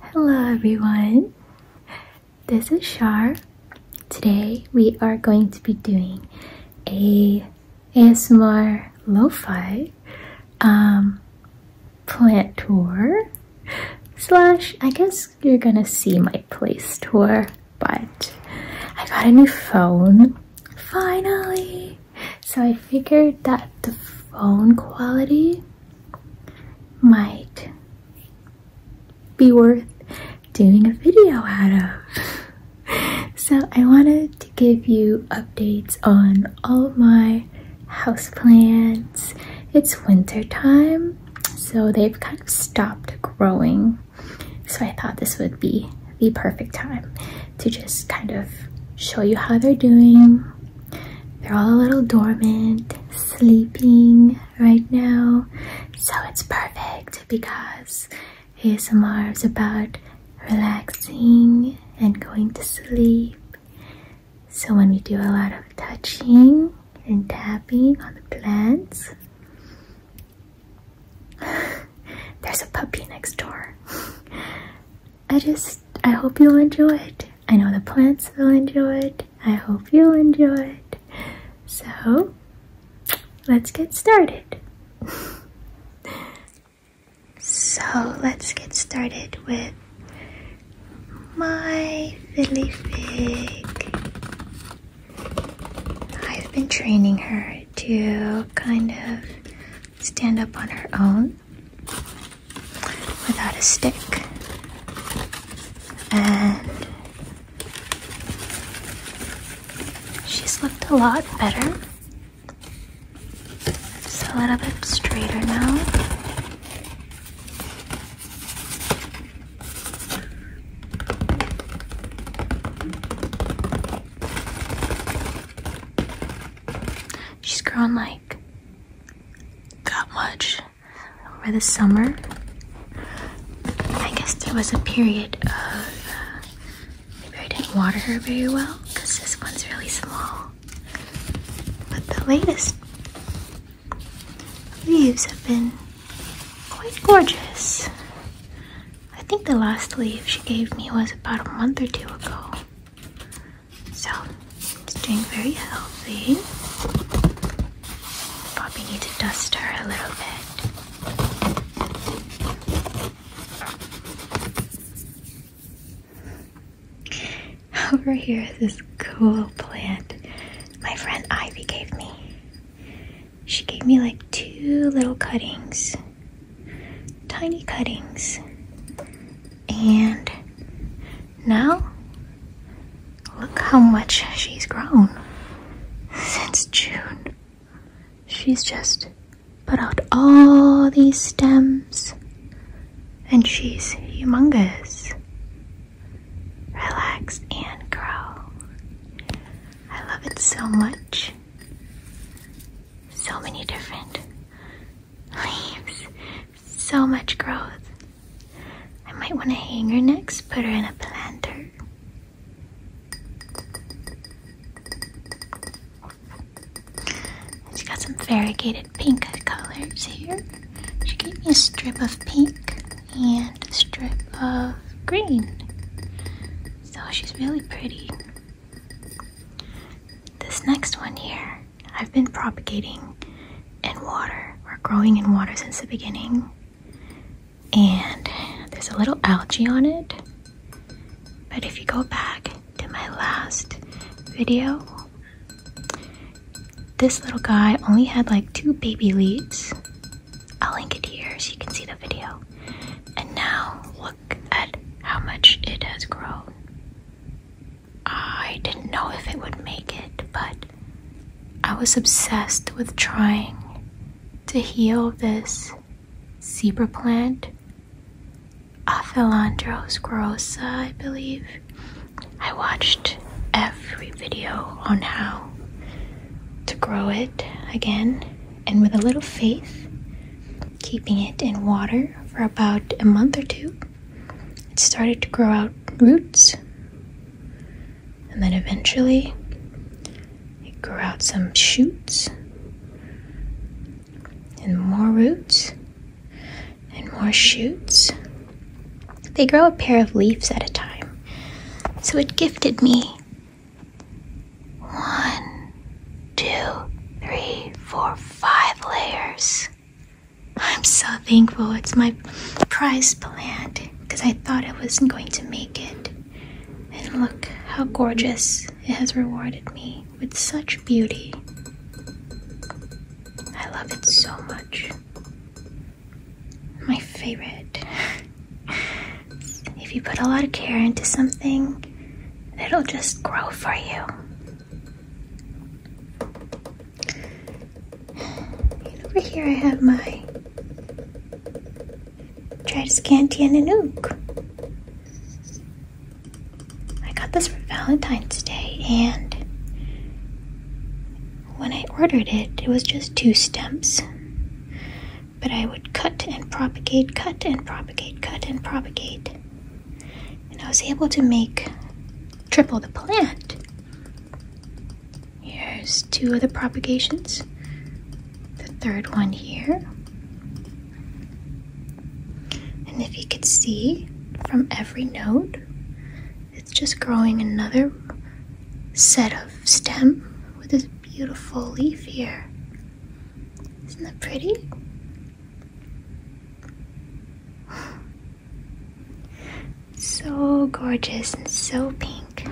Hello everyone, this is Shar. Today we are going to be doing a ASMR lofi um, plant tour slash I guess you're gonna see my place tour but I got a new phone finally. So I figured that the phone quality might be worth doing a video out of. So I wanted to give you updates on all of my houseplants. It's winter time, so they've kind of stopped growing so I thought this would be the perfect time to just kind of show you how they're doing. They're all a little dormant, sleeping right now. So it's perfect because ASMR is about relaxing and going to sleep. So when we do a lot of touching and tapping on the plants, There's a puppy next door. I just, I hope you'll enjoy it. I know the plants will enjoy it. I hope you'll enjoy it. So, let's get started. so, let's get started with my Philly fig. I've been training her to kind of stand up on her own without a stick. And she's looked a lot better. It's a little bit straighter now. She's grown like that much over the summer. I guess there was a period of maybe I didn't water her very well because this one's really small. But the latest leaves have been quite gorgeous. I think the last leaf she gave me was about a month or two ago. So it's doing very healthy. Bobby needs to dust her a little bit. Over here is this cool plant my friend Ivy gave me she gave me like two little cuttings, tiny cuttings. And now, look how much she's grown since June. She's just put out all these stems and she's humongous. Relax and grow. I love it so much. So many different leaves, so much growth. I might want to hang her next, put her in a planter. She's got some variegated pink colors here. She gave me a strip of pink and a strip of green. So she's really pretty. This next one here, I've been propagating in water or growing in water since the beginning. And there's a little algae on it. But if you go back to my last video, this little guy only had like two baby leaves I'll link it here so you can see the video. And now look at how much it has grown. I didn't know if it would make it, but I was obsessed with trying to heal this zebra plant. Aphelandros grossa, I believe. I watched every video on how to grow it again and with a little faith, keeping it in water for about a month or two, it started to grow out roots. And then eventually, it grew out some shoots and more roots and more shoots they grow a pair of leaves at a time. So it gifted me one, two, three, four, five layers. I'm so thankful it's my prize plant because I thought it wasn't going to make it. And look how gorgeous it has rewarded me with such beauty. I love it so much my favorite. if you put a lot of care into something, it'll just grow for you. And over here I have my Tradescantia Nanook. I got this for Valentine's Day and when I ordered it, it was just two stems. But I would cut and propagate, cut and propagate, cut and propagate. And I was able to make triple the plant. Here's two of the propagations. The third one here. And if you could see from every node, it's just growing another set of stem with this beautiful leaf here. Isn't that pretty? So gorgeous and so pink.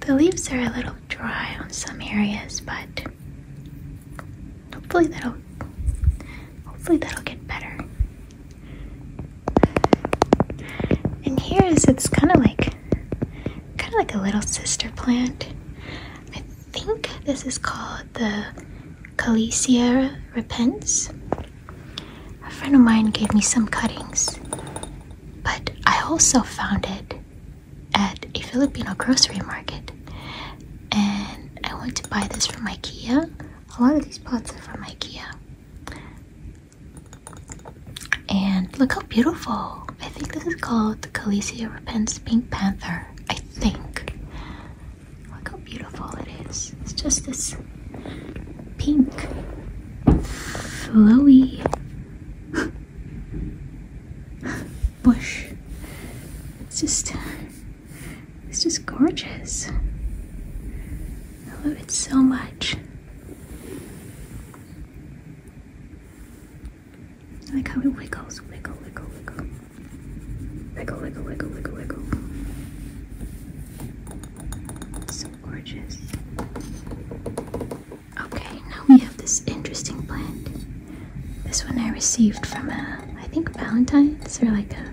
The leaves are a little dry on some areas, but hopefully that'll hopefully that'll get better. And here is it's kind of like kind of like a little sister plant. I think this is called the Calicia repens. A friend of mine gave me some cuttings, but I also found it at a Filipino grocery market. And I went to buy this from IKEA. A lot of these pots are from IKEA. And look how beautiful. I think this is called the Khaleesi Repent's Pink Panther. I think. Look how beautiful it is. It's just this pink, flowy bush. It's just, it's just gorgeous. I love it so much. I like how it wiggles, wiggle, wiggle, wiggle. Wiggle, wiggle, wiggle, wiggle, wiggle. It's so gorgeous. Okay, now we have this interesting plant. This one I received from a, I think Valentine's or like a,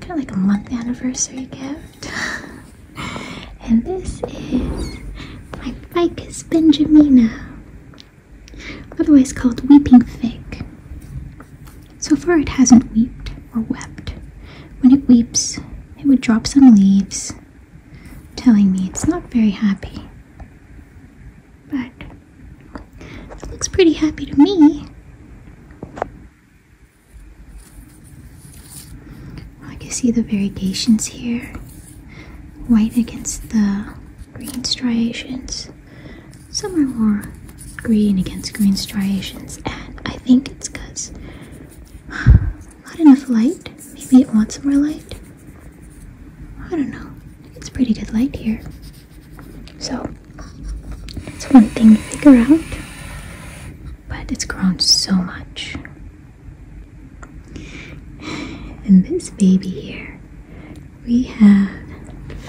kind of like a month anniversary gift. And this is my Ficus benjamina, otherwise called weeping fig. So far, it hasn't wept or wept. When it weeps, it would drop some leaves, telling me it's not very happy. But it looks pretty happy to me. I can see the variegations here white against the green striations. Some are more green against green striations, and I think it's because not enough light. Maybe it wants more light. I don't know. It's pretty good light here. So, it's one thing to figure out, but it's grown so much. And this baby here, we have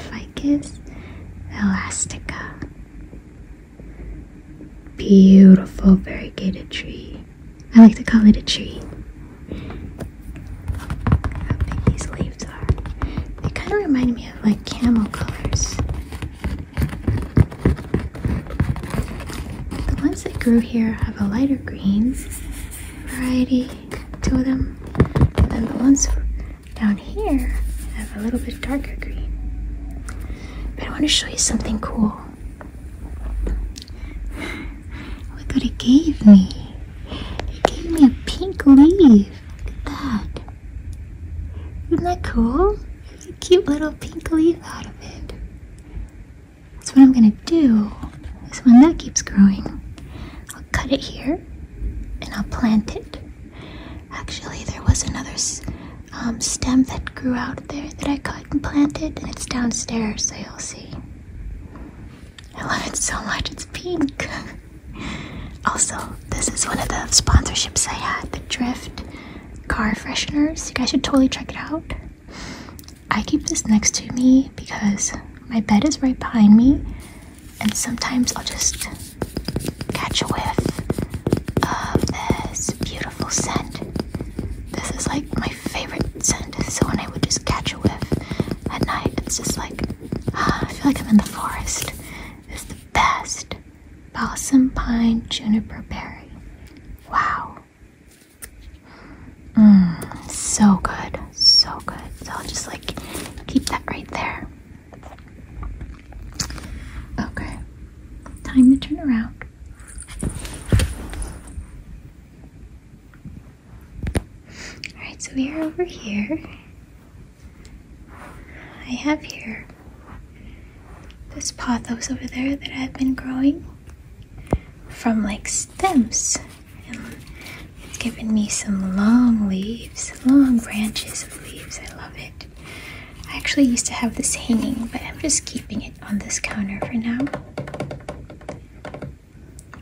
Ficus elastica. Beautiful variegated tree. I like to call it a tree. How big these leaves are. They kind of remind me of like camel colors. The ones that grew here have a lighter green variety Two of them, and then the ones down here have a little bit darker green. But I want to show you something cool. Look what it gave me. It gave me a pink leaf. Look at that. Isn't that cool? a cute little pink leaf out of it. That's what I'm gonna do. Is when that keeps growing, I'll cut it here and I'll plant it. Actually, there was another um, stem that grew out there that I cut and planted, and it's downstairs, so you'll see. I love it so much, it's pink. Also, this is one of the sponsorships I had the Drift car fresheners. You guys should totally check it out. I keep this next to me because my bed is right behind me, and sometimes I'll just catch a whiff of this beautiful scent. This is like my favorite scent, so when I would just catch a whiff at night, it's just like ah, I feel like I'm in the forest. It's the best. Balsam pine juniper berry. Wow. Mmm, so good, so good. So I'll just like keep that right there. Okay, time to turn around. Alright, so we are over here. I have here this pothos over there that I've been growing from like stems. And it's given me some long leaves, long branches of leaves. I love it. I actually used to have this hanging, but I'm just keeping it on this counter for now.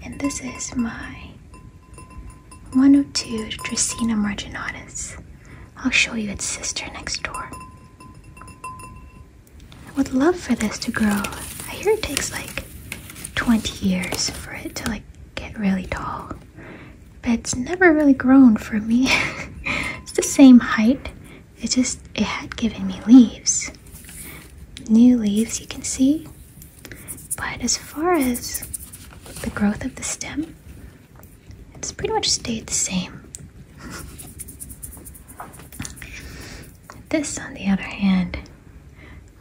And this is my 102 Dracena marginata. I'll show you its sister next door. I would love for this to grow. I hear it takes like 20 years for it to like get really tall. But it's never really grown for me. it's the same height. It just it had given me leaves. New leaves you can see. But as far as the growth of the stem, it's pretty much stayed the same. this, on the other hand,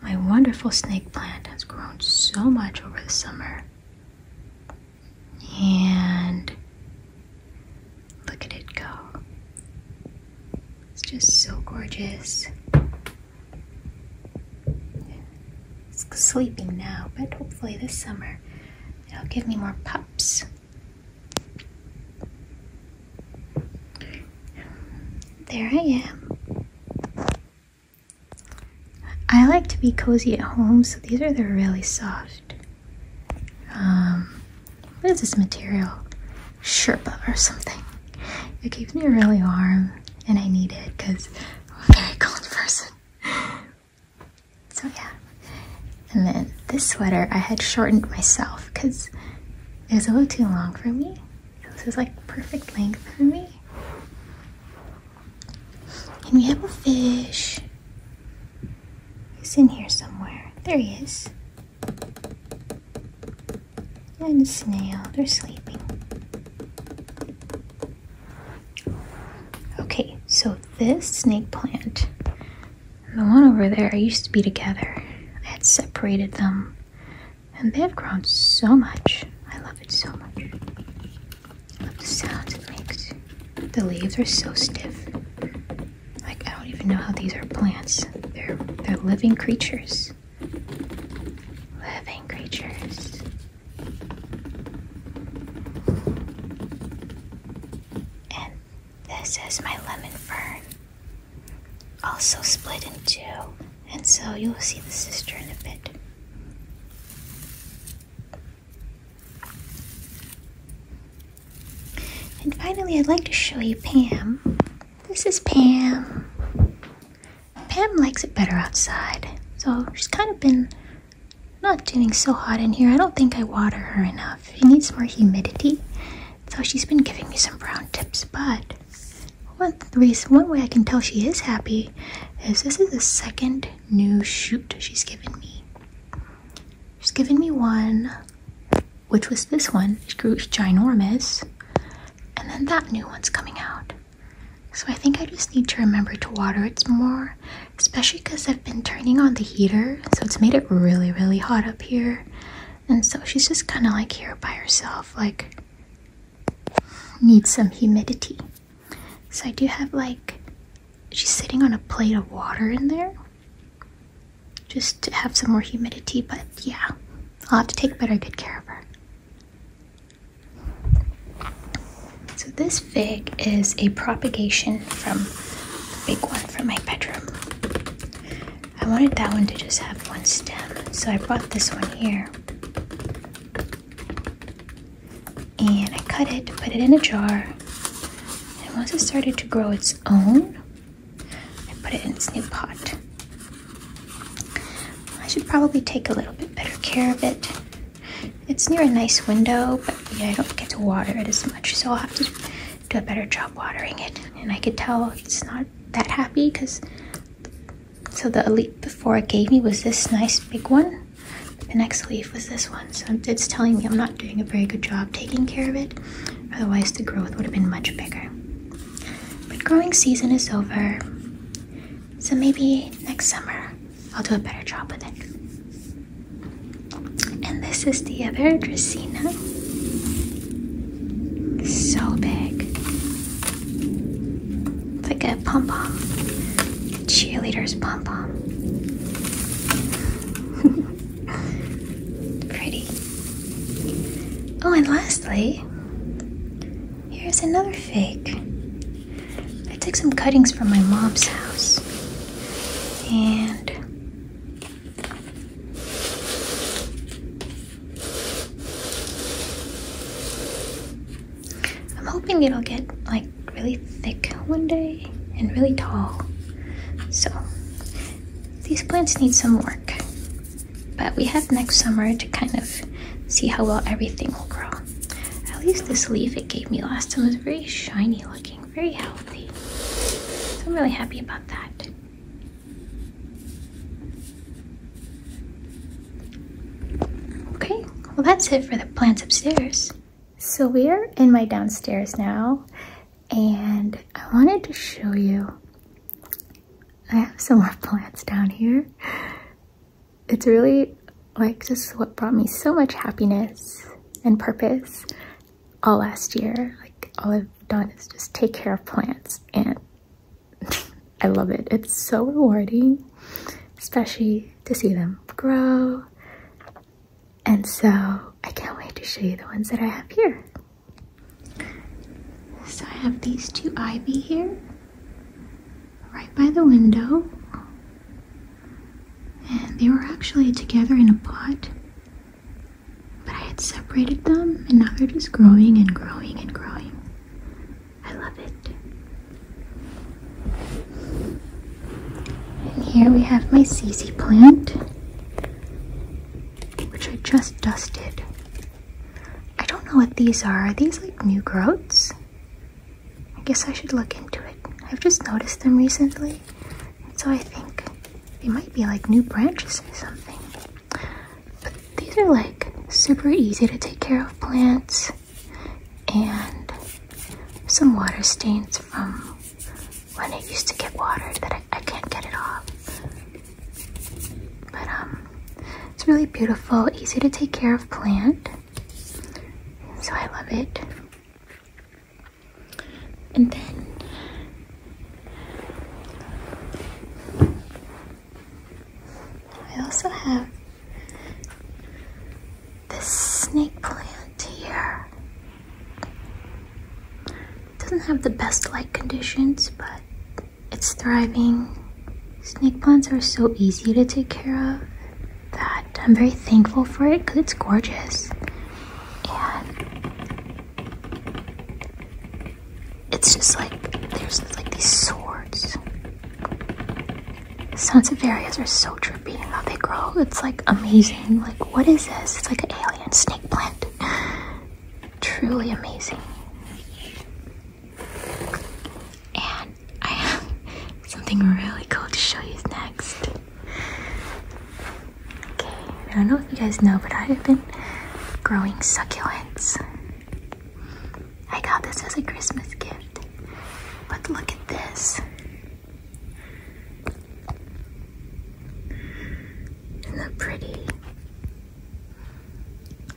my wonderful snake plant has grown so much over the summer. And look at it go. It's just so gorgeous sleeping now, but hopefully this summer it'll give me more pups. There I am. I like to be cozy at home, so these are the really soft. Um, what is this material? Sherpa or something. It keeps me really warm, and I need it because I'm a very cold person. so yeah. And then this sweater I had shortened myself because it was a little too long for me. So this is like perfect length for me. And we have a fish. He's in here somewhere. There he is. And a snail. They're sleeping. Okay, so this snake plant the one over there I used to be together. I had separated them and they have grown so much. I love it so much. love the sounds it makes. The leaves are so stiff. Like I don't even know how these are plants. They're they're living creatures. Living creatures. And this is my lemon fern, also split in two, and so you'll see the sister in a bit. And finally, I'd like to show you Pam. This is Pam. Pam likes it better outside, so she's kind of been not doing so hot in here. I don't think I water her enough. She needs more humidity, so she's been giving me some brown tips. But one reason, one way I can tell she is happy is this is the second new shoot she's given me. She's given me one, which was this one. It grew ginormous, and then that new one's coming out. So I think I just need to remember to water it more, especially because I've been turning on the heater, so it's made it really, really hot up here. And so she's just kind of like here by herself, like needs some humidity. So I do have like, she's sitting on a plate of water in there just to have some more humidity, but yeah, I'll have to take better good care of her. So this fig is a propagation from the big one from my bedroom. I wanted that one to just have one stem, so I brought this one here. And I cut it, put it in a jar, and once it started to grow its own, I put it in its new pot. I should probably take a little bit better care of it. It's near a nice window, but yeah, I don't get to water it as much, so I'll have to do a better job watering it. And I could tell it's not that happy because so the leaf before it gave me was this nice big one. The next leaf was this one, so it's telling me I'm not doing a very good job taking care of it. Otherwise, the growth would have been much bigger. But growing season is over. So maybe next summer I'll do a better job with it. And this is the other dracena. So big. It's like a pom pom. Cheerleader's pom pom. Pretty. Oh, and lastly, Here's another fake. I took some cuttings from my mom's house. And I'm hoping it'll get like really thick one day and really tall. So these plants need some work. But we have next summer to kind of see how well everything will grow at least this leaf it gave me last time was very shiny looking, very healthy. So I'm really happy about that. Okay, well that's it for the plants upstairs. So we're in my downstairs now and I wanted to show you I have some more plants down here it's really like just what brought me so much happiness and purpose all last year. Like all I've done is just take care of plants and I love it. It's so rewarding, especially to see them grow. And so I can't wait to show you the ones that I have here. So I have these two ivy here right by the window. And they were actually together in a pot. But I had separated them and now they're just growing and growing and growing. I love it. And here we have my Cece plant, which I just dusted. I don't know what these are. Are these like new growths? I guess I should look into it. I've just noticed them recently, so I think they might be like new branches or something. But these are like super easy to take care of plants and some water stains from when it used to get water that I, I can't get it off. But um it's really beautiful, easy to take care of plant. So I love it. And then I also have this snake plant here. doesn't have the best light conditions, but it's thriving. Snake plants are so easy to take care of that I'm very thankful for it because it's gorgeous. And it's just like, there's like these swords. The Sansevieras are so trippy how they grow. It's like amazing. Like, what is this? It's like an alien snake plant. Truly amazing. And I have something really cool to show you next. Okay, I don't know if you guys know, but I have been growing succulents. I got this as a Christmas gift. But look at this. They not pretty?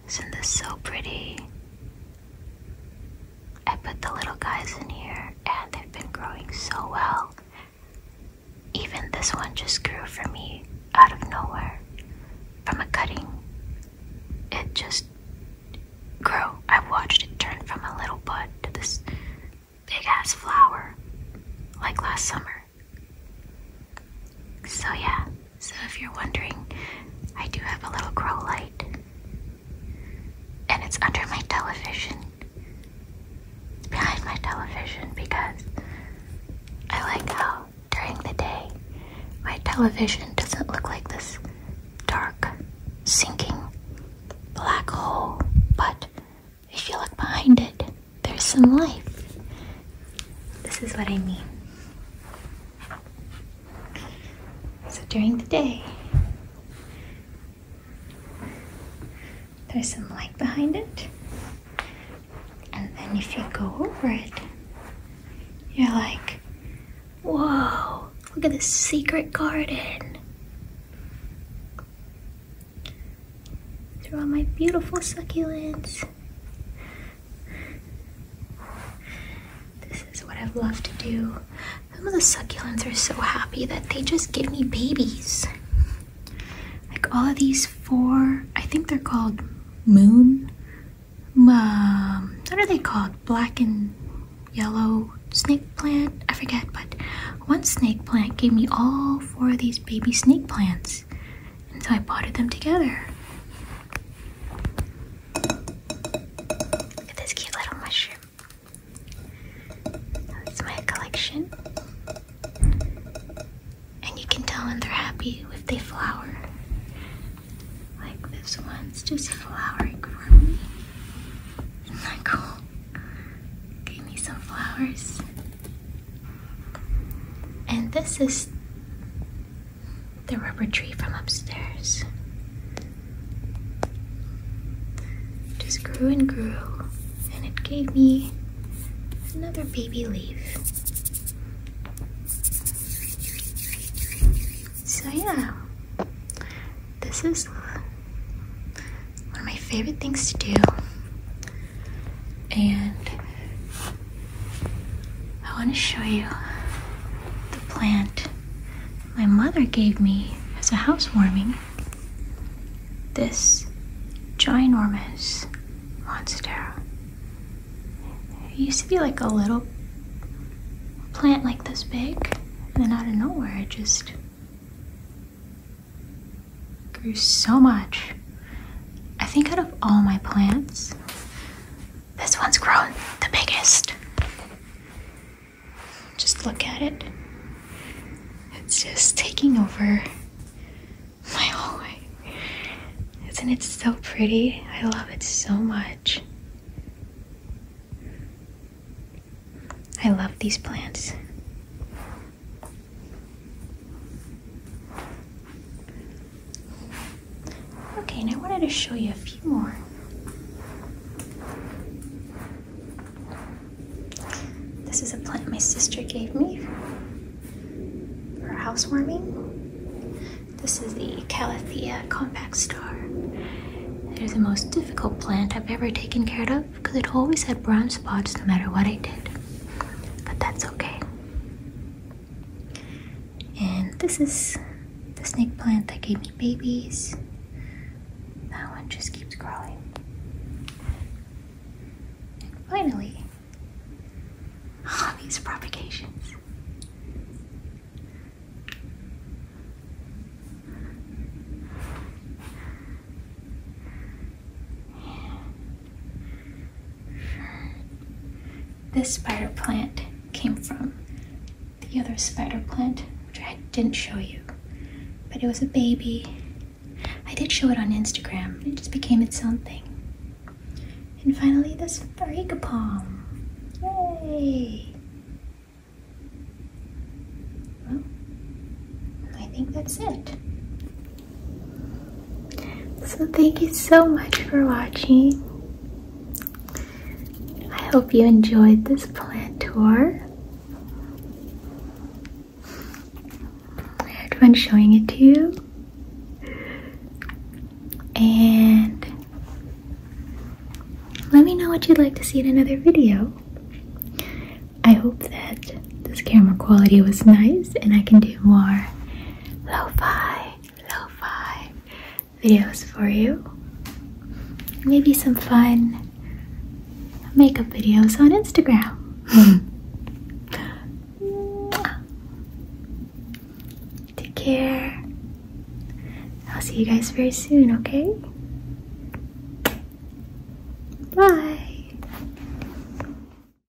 Isn't this so pretty? I put the little guys in here and they've been growing so well. Even this one just grew for me out of nowhere from a cutting. It just grew. I watched it turn from a little bud to this big ass flower like last summer. So, yeah, so if you're wondering, I do have a little grow light. And it's under my television. It's behind my television because I like how during the day my television doesn't look like this dark, sinking black hole, but if you look behind it, there's some life. This is what I mean. So during the day, there's some light behind it. And then if you go over it, you're like, whoa, look at this secret garden. Through all my beautiful succulents. This is what i love to do. Some of the succulents are so happy that they just give me babies. Like all of these four, I think they're called moon. Um, what are they called? Black and yellow snake plant? I forget, but one snake plant gave me all four of these baby snake plants and so I potted them together. Look at this cute little mushroom. That's my collection. And you can tell when they're happy if they flower. Like this one's just flowering for me. Isn't that cool? Gave me some flowers. And this is the rubber tree from upstairs. Just grew and grew, and it gave me another baby leaf. So, yeah, this is one of my favorite things to do, and I want to show you the plant my mother gave me as a housewarming. This ginormous monstera. It used to be like a little plant like this big, and then out of nowhere it just grew so much I think out of all my plants, this one's grown the biggest. Just look at it. It's just taking over my hallway. Isn't it so pretty? I love it so much. I love these plants. Okay, and I wanted to show you a few more. This is a plant my sister gave me for housewarming. This is the Calathea compact star. It is the most difficult plant I've ever taken care of because it always had brown spots no matter what I did. But that's okay. And this is the snake plant that gave me babies. That one just keeps growing. And finally, all these propagations. This spider plant came from the other spider plant, which I didn't show you, but it was a baby. I did show it on Instagram, it just became its own thing. And finally, this Farika palm. Yay! Well, I think that's it. So thank you so much for watching. I hope you enjoyed this plant tour. I had fun showing it to you. And let me know what you'd like to see in another video. I hope that this camera quality was nice and I can do more lo-fi, lo-fi videos for you. Maybe some fun makeup videos on Instagram. Take care. I'll see you guys very soon, okay? Bye.